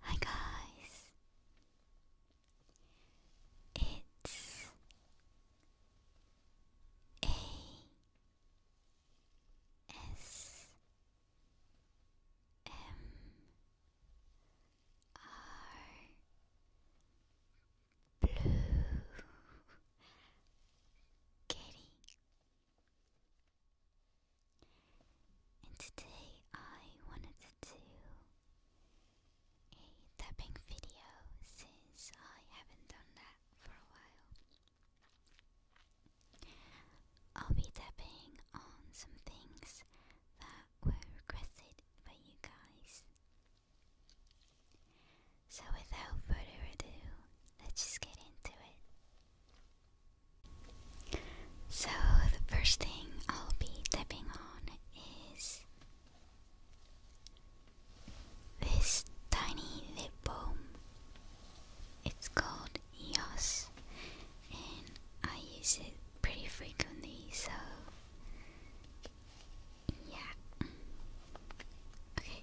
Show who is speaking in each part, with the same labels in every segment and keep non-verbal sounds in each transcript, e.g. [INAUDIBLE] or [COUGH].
Speaker 1: Hi guys, it's A S M R Blue Kitty. And today I wanted to do a tapping video since I haven't done that for a while. I'll be tapping on some things that were requested by you guys. So without further ado, let's just get into it. So, the first thing I'll be tapping on is this tiny lip balm. It's called EOS, and I use it pretty frequently, so yeah. Okay.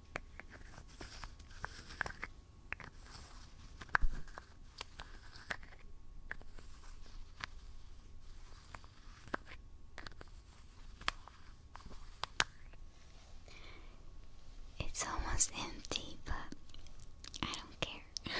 Speaker 1: It's almost empty, but I don't care. [LAUGHS]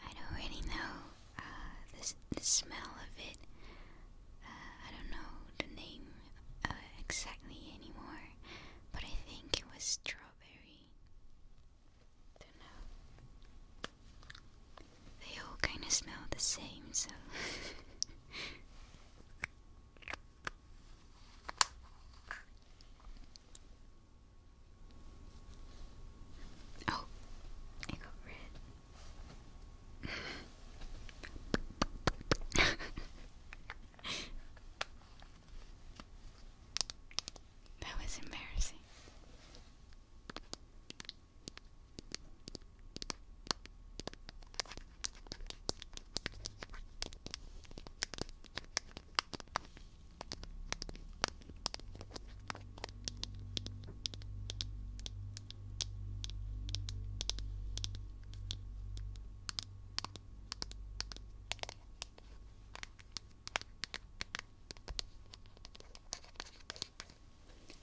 Speaker 1: I don't really know uh, the, the smell of it. Uh, I don't know the name uh, exactly anymore, but I think it was strawberry. Don't know. They all kind of smell the same, so. [LAUGHS] oh, it got red that was embarrassing.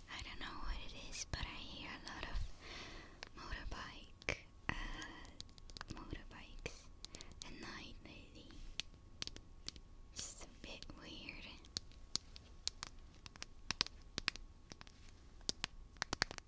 Speaker 1: I don't know what it is, but I hear a lot of motorbike, uh, motorbikes at night lately. It's a bit weird.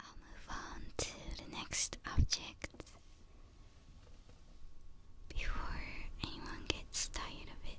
Speaker 1: I'll move on to the next object before anyone gets tired of it.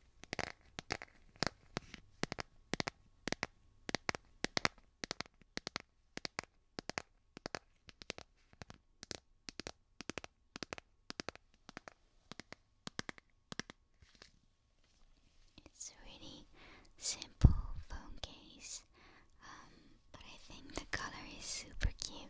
Speaker 1: It's a really simple phone case, um, but I think the color is super cute.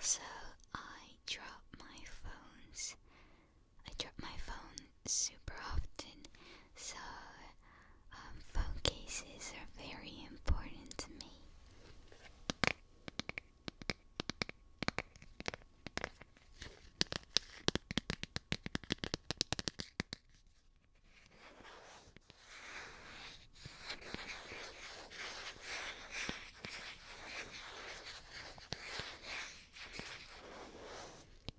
Speaker 1: Also, I dropped my phones. I dropped my phone super often, so um, phone cases are very important to me.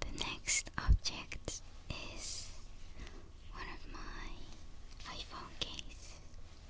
Speaker 1: The next object is one of my iPhone cases.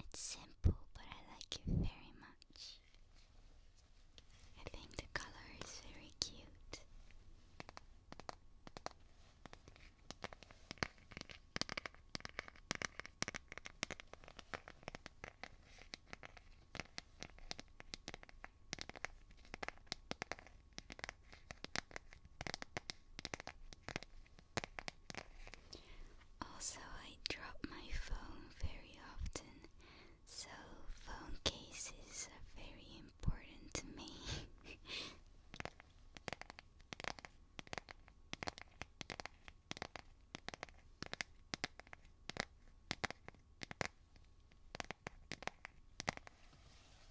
Speaker 1: It's simple, but I like it very much. I think the color is very cute. Also, I drop my phone very often, so phone cases are very important to me.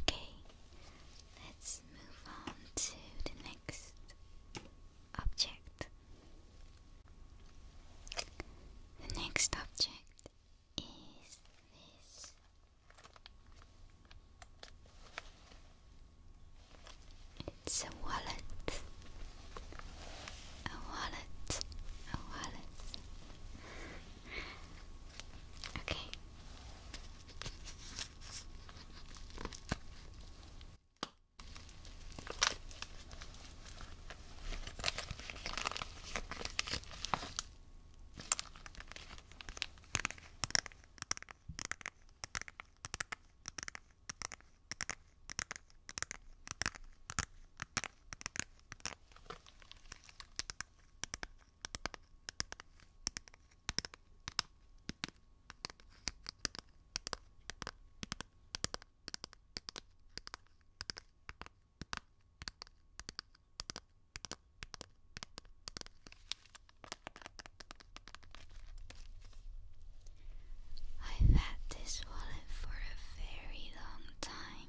Speaker 1: Okay, let's move on to the next object. The next object is this. It's a wallet. A wallet. A wallet. Okay. I've had this wallet for a very long time.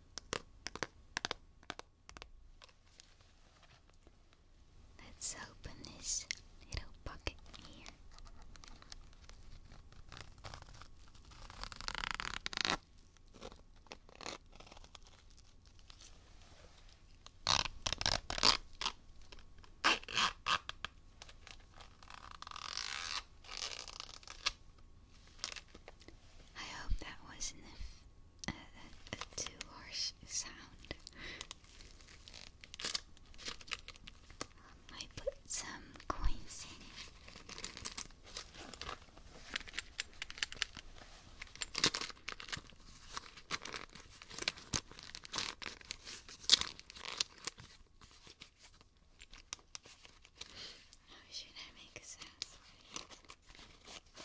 Speaker 1: Let's open this little pocket here. I hope that wasn't a, too harsh sound. I put some coins in it. How should I make a sound for you? Okay.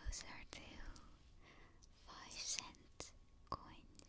Speaker 1: Those are two five cent coins.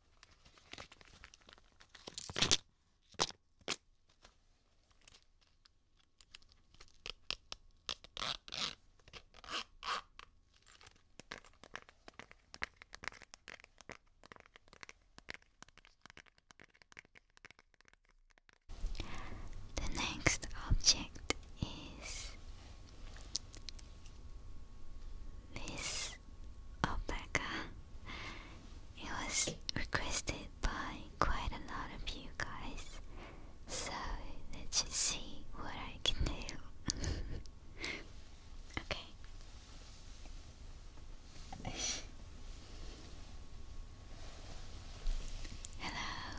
Speaker 1: The next object is this was It was requested by quite a lot of you guys. So let's see what I can do. [LAUGHS] okay. Hello.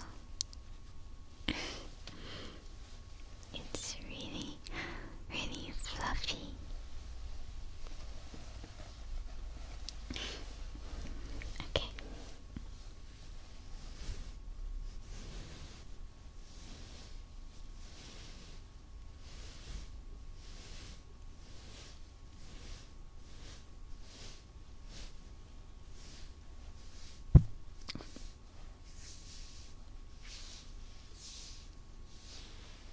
Speaker 1: [LAUGHS] it's really really, fluffy. Okay.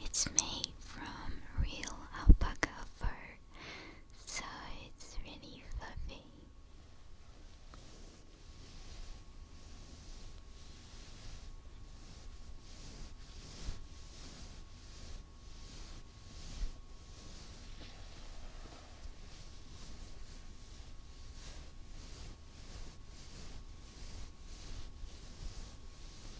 Speaker 1: It's made from real alpaca fur, so it's really fluffy.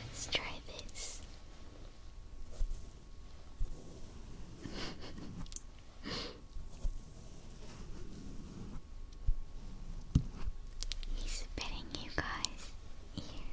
Speaker 1: Let's try this. [LAUGHS] He's spitting you guys here.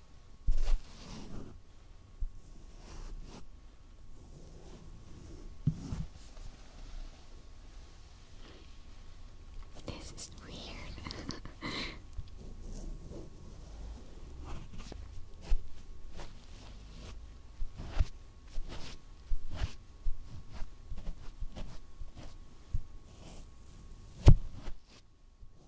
Speaker 1: This is weird. [LAUGHS]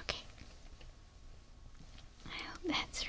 Speaker 1: Okay. I hope that's relaxing.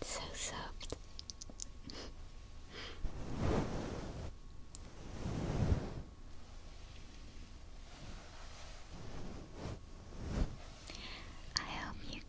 Speaker 1: It's so soft. I hope you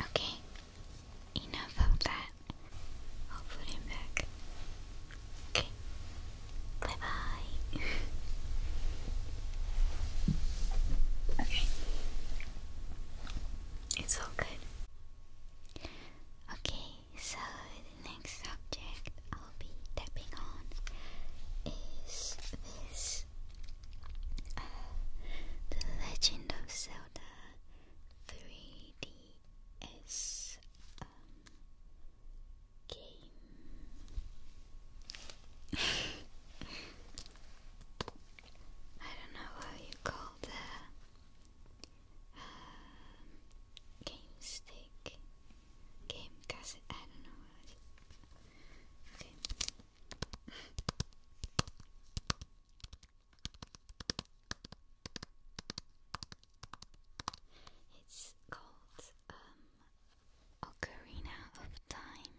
Speaker 1: Okay, enough of that. I'll put him back. Okay, bye bye. [LAUGHS] okay, it's all good. Okay, so the next subject I'll be tapping on is this uh, The Legend of Zelda 3DS um, game. [LAUGHS] I don't know how you call the game stick, game cassette. I don't know. Okay. it's called um, Ocarina of Time.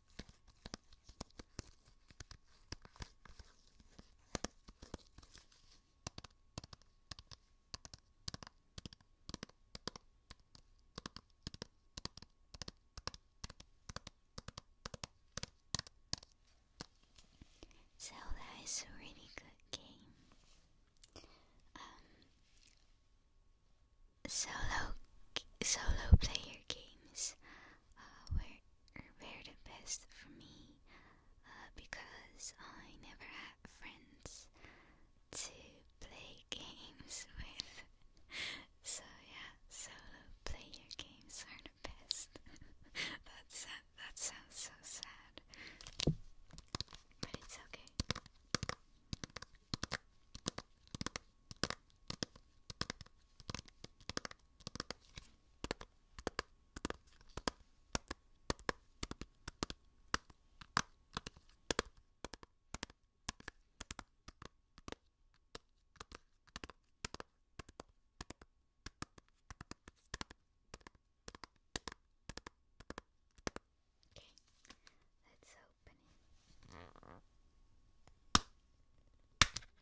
Speaker 1: Zelda is a really good game. Um, solo solo player games uh, were, were the best for me uh, because I never had friends to play games [LAUGHS] with. so yeah, solo player games are the best. [LAUGHS] That's sad. That sounds so sad, but it's okay. Okay, let's open it.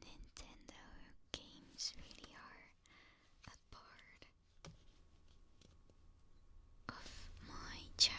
Speaker 1: Nintendo games really are a part of my childhood.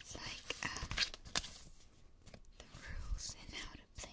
Speaker 1: It's like uh, the rules and how to play.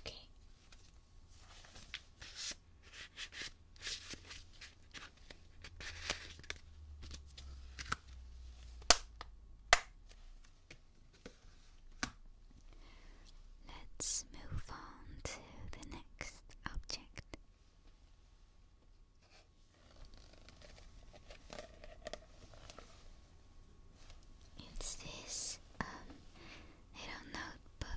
Speaker 1: Okay. Let's move on to the next object. It's this um little notebook.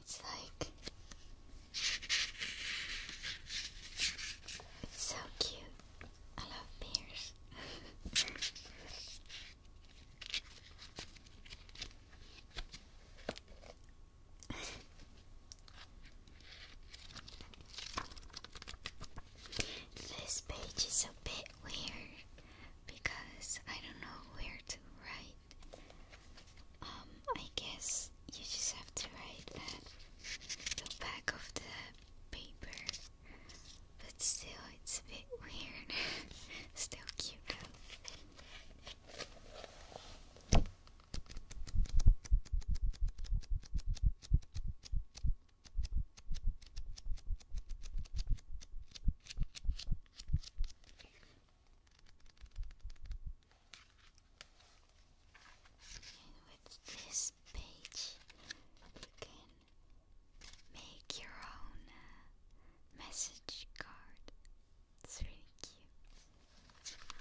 Speaker 1: It's like it's so cute. I love bears. [LAUGHS] this page is a bit weird because I don't know where to write. Um, I guess you just have to write that the back of the paper, but still, it's a bit [LAUGHS] weird. still cute though. And with this page, you can make your own uh, message card. It's really cute.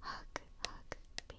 Speaker 1: Hug, hug, bear.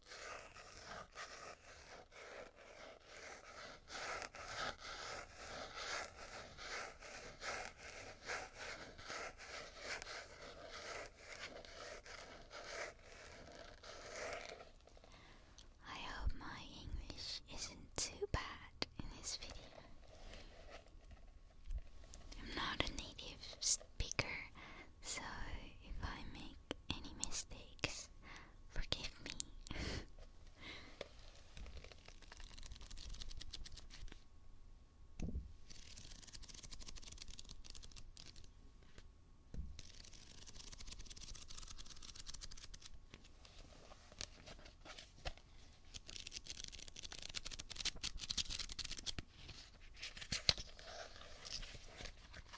Speaker 1: I hope my English isn't too bad in this video. I'm not a native bigger, so if I make any mistakes, forgive me. [LAUGHS]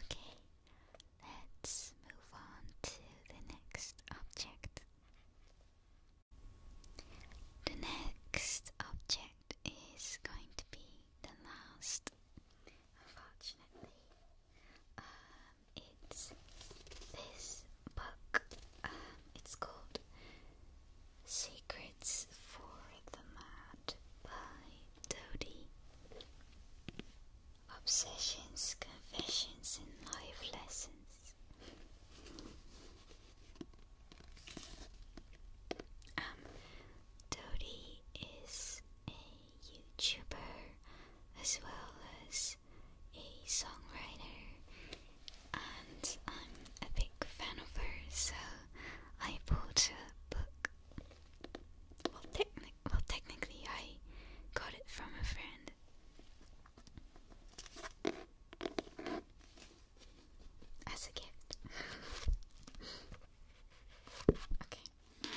Speaker 1: Okay, let's move on to the next object. The next object is going to be the last, unfortunately. Um, it's this book. Um, it's called Secrets for the Mad by Dodie. Obsessions, confessions, and life lessons. Um, Dodie is a YouTuber as well as a songwriter, and I'm a big fan of her, so I bought a book. Well, technically, I got it from a friend as a gift. okay.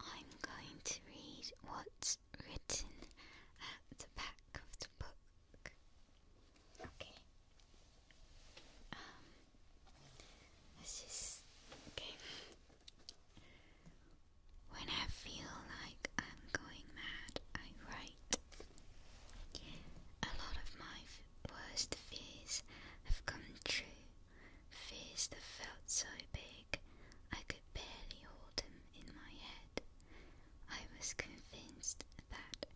Speaker 1: I'm going to read what written at the back of the book. Okay. Um, this is okay. When I feel like I'm going mad, I write. A lot of my worst fears have come true. Fears that felt so big I could barely hold him in my head. I was convinced that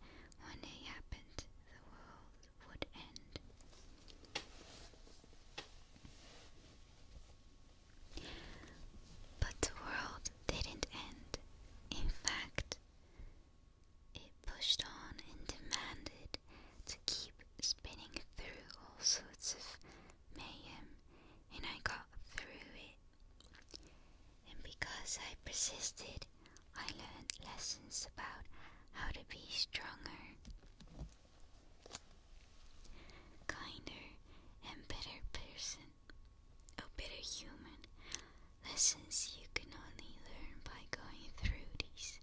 Speaker 1: when it happened, the world would end. But the world didn't end. In fact, it pushed on and demanded to keep spinning through all sorts of mayhem, and I got through it and because I persisted, I learned lessons about how to be stronger, kinder, and better person, a better human. Lessons you can only learn by going through these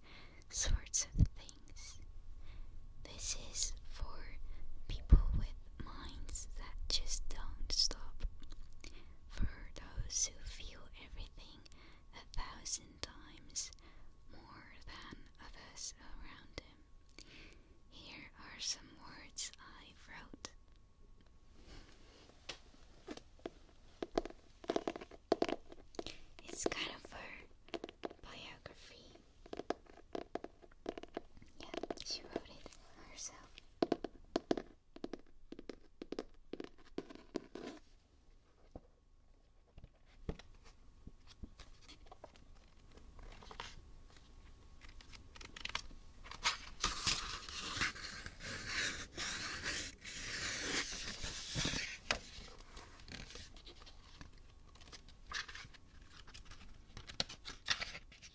Speaker 1: sorts of things. This is for people with minds that just don't stop. For those who feel everything a thousand times more than others around them. Here are some words I wrote. It's kind of a biography yeah, she wrote it herself.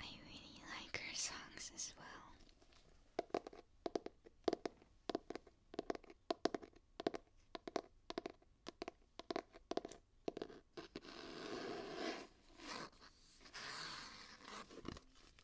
Speaker 1: I really like her songs as well.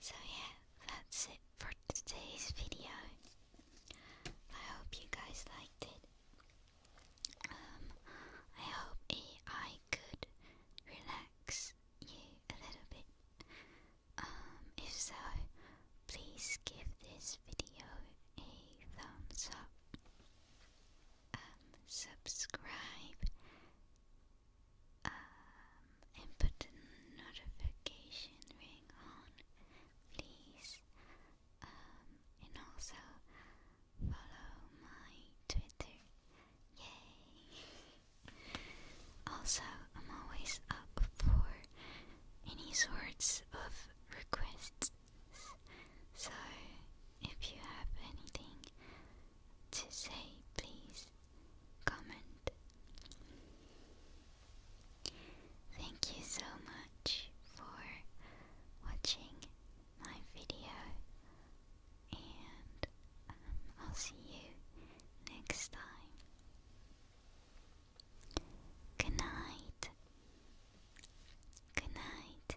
Speaker 1: So, yeah, that's it for today's video. I hope you guys liked it. Um, I hope AI could relax you a little bit. Um, if so, please give this video a thumbs up subscribe, um, and put the notification ring on, please. Um, and also follow my Twitter. Yay! also, I'm always up for any sorts of requests so, if you have anything to say, please comment. Thank you so much for watching my video, and um, I'll see you next time. Good night. Good night.